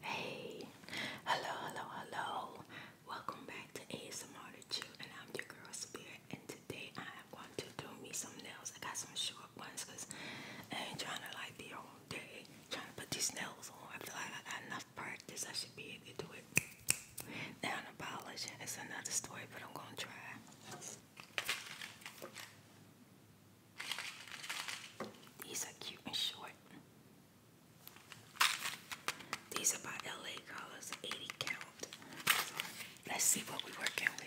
Hey, hello, hello, hello. Welcome back to ASMR to You, and I'm your girl Spirit. And today I am going to do me some nails. I got some short ones because I ain't trying to like be all day trying to put these nails on. I feel like I got enough practice. I should be able to do it. Now the polish is another story, but I'm gonna try. These are cute and short. These are by LA Colors 80 count. let's see what we're working with.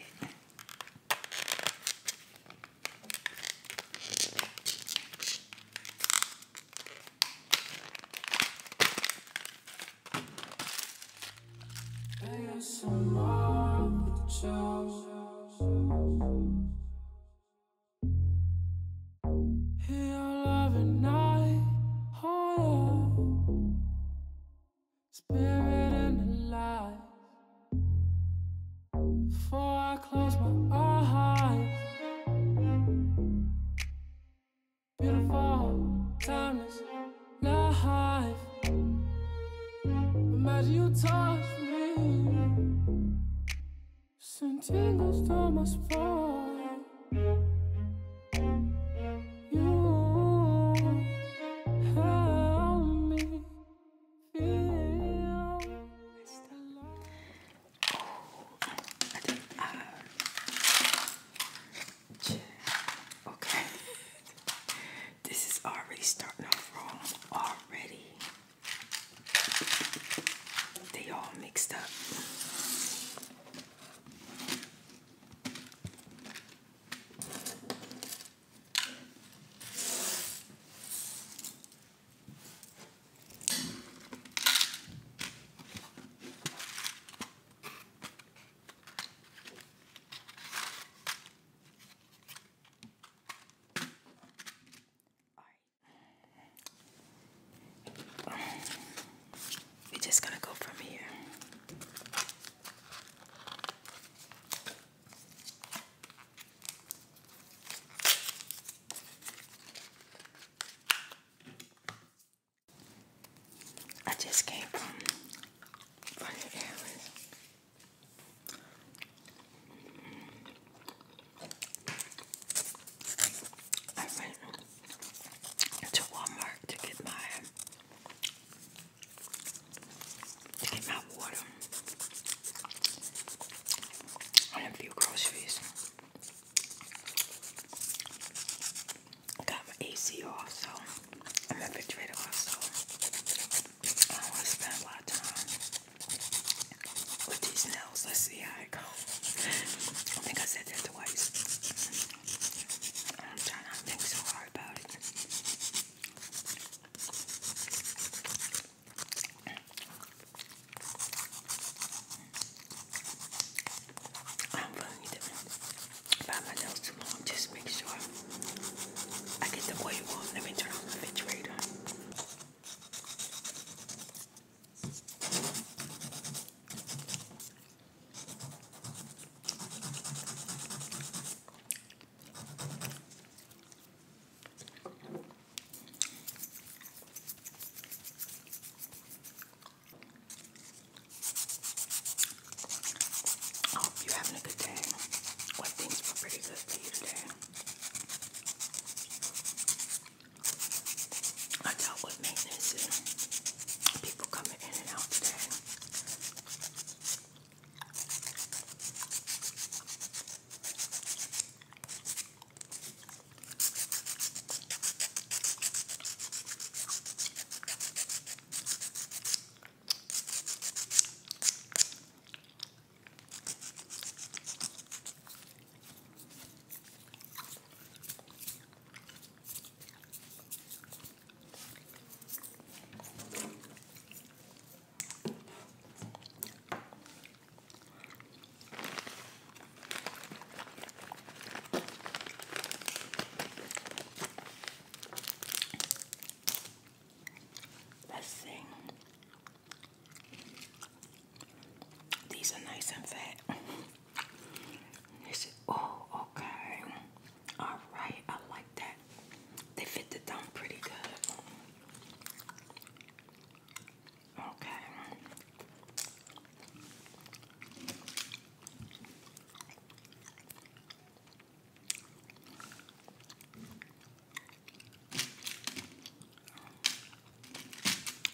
In your loving night, spirit and Before I close my eyes, beautiful, timeless life. Imagine you touch me Sentindo os tomas fora You help me feel oh, uh, Okay This is already starting off wrong already they all mixed up. All right. We're just gonna go from here. I just came from running errands. I went to Walmart to get my to get my water and a few groceries. got my AC also. I'm a refrigerator also. I want to spend a lot of time with these nails. Let's see how it goes. I think I said that twice. I'm trying not to think so hard about it. I don't really need to buy my nails too long. Just make sure I get the oil off. Let me turn on my refrigerator. I hope oh, you're having a good day. What things were pretty good for I dealt with maintenance and people coming in and out today. Best thing these are nice and fat. oh, okay. All right, I like that. They fit the thumb pretty good. Okay.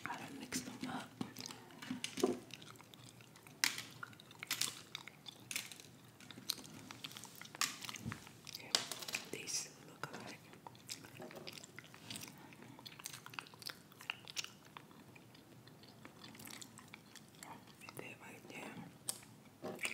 I don't mix them up. these look alike. Right there, right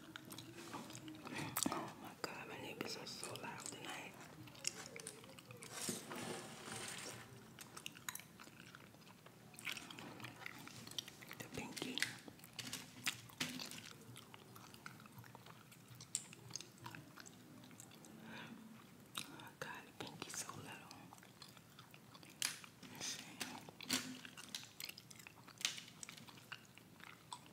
Oh my god, my neighbors are so loud tonight. The pinky. Oh god, the pinky's so little.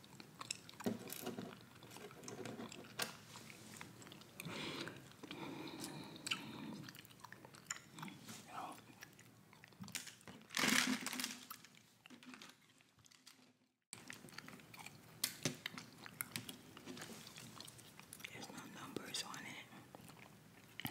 You there's no numbers on it.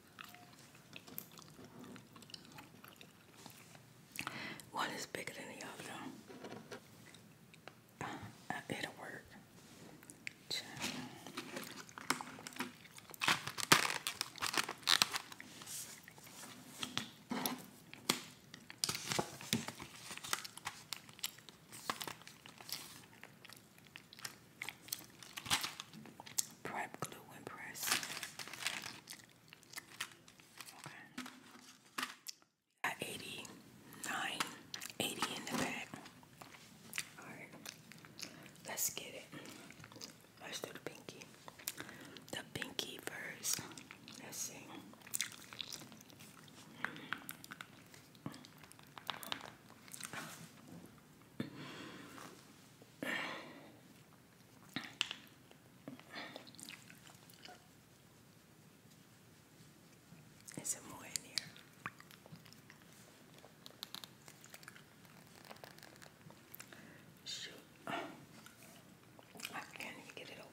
One is bigger than the other. Uh, it'll work prep glue and press. Okay. Got 89, in the bag. Alright. Let's get it. Let's do the pinky. The pinky first. Let's see. Is it more in here? Shoot. I can't get it open.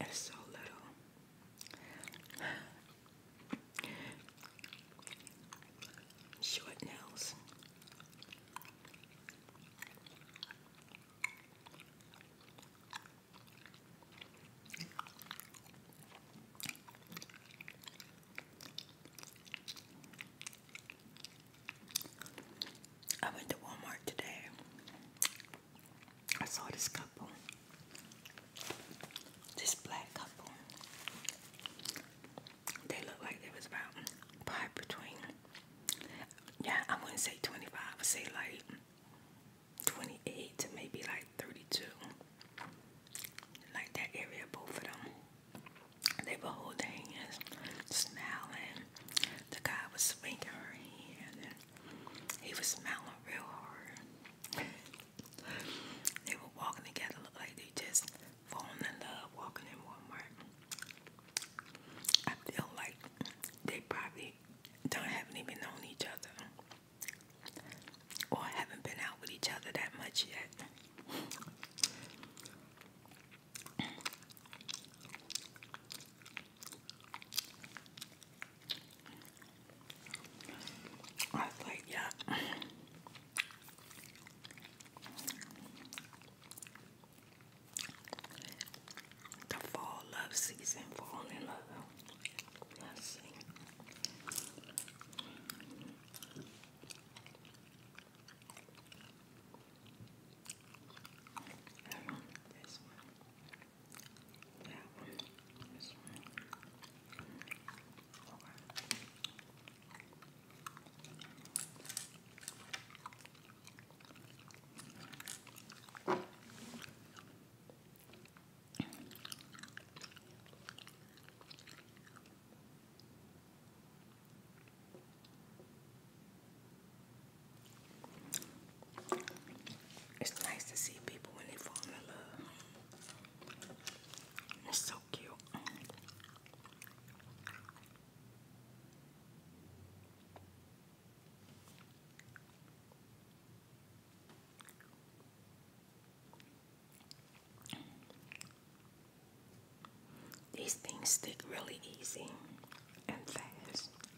It's so little. Short nails. I went to Walmart today. I saw this couple. This black couple. They look like they was about five between. Yeah, I wouldn't say 25. I would say like 28 to maybe like 32. Like that area, both of them. They were holding hands, smiling the guy was swinging her hand and he was smiling real hard. they were walking together, like they just falling in love, walking in Walmart. I feel like they probably don't haven't even known each other or haven't been out with each other that much yet. I was like, yeah. fall love season, fall in love. Let's see. I want this one, that one, this one. It's nice to see people when they fall in love. It's so cute. These things stick really easy and fast.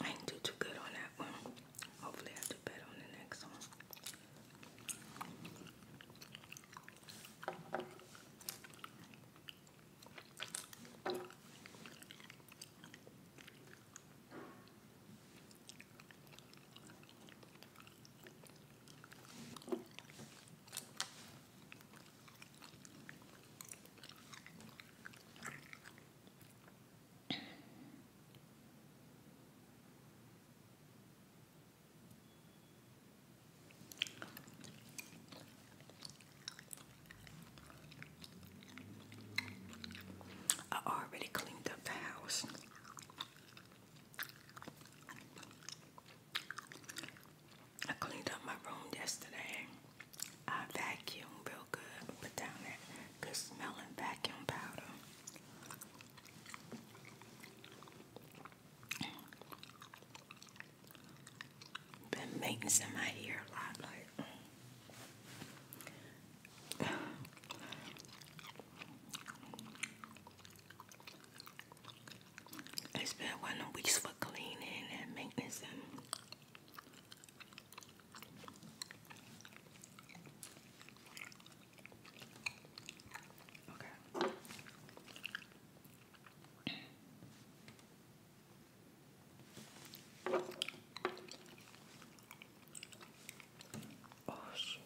I didn't do too good on that one. Hopefully, I do better on the next one. I already cleaned up the house. I cleaned up my room yesterday. I vacuumed real good, put down that good smelling vacuum powder. Been maintenance in my ear like. It's been one of the weeks for cleaning and maintenance Okay. Oh shit.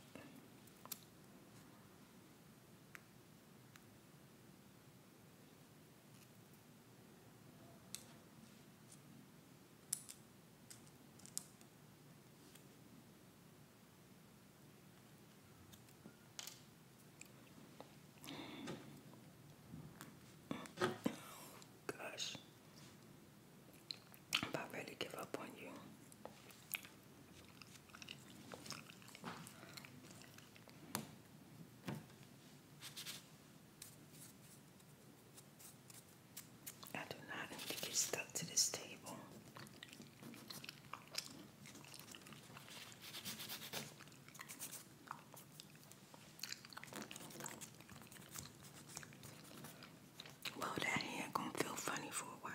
Gosh, if I really give up on you. I do not need to get stuck to this table. Well, that ain't gonna feel funny for a while.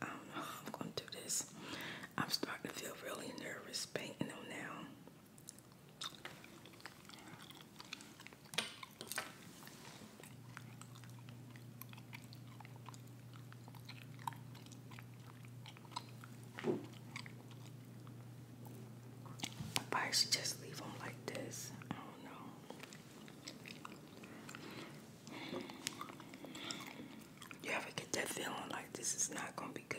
I am going to do this. I'm starting to feel really nervous painting them now should just leave them like this. I don't know. You ever get that feeling like this is not gonna be good?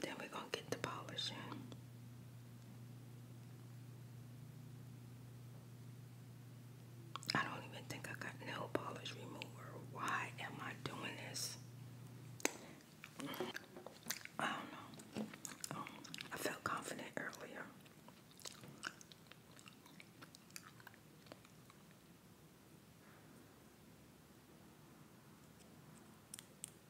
Then we going to get the polish I don't even think I got nail polish remover. Why am I doing this? I don't know. I felt confident earlier.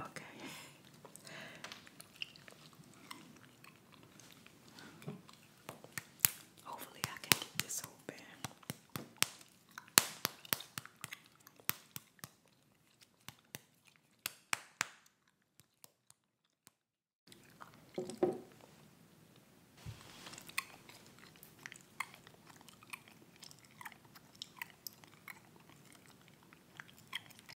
Okay. Hopefully, I can get this open.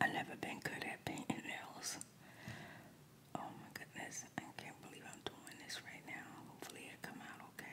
I've never been good at painting nails. Oh my goodness, I can't believe I'm doing this right now. Hopefully it come out okay.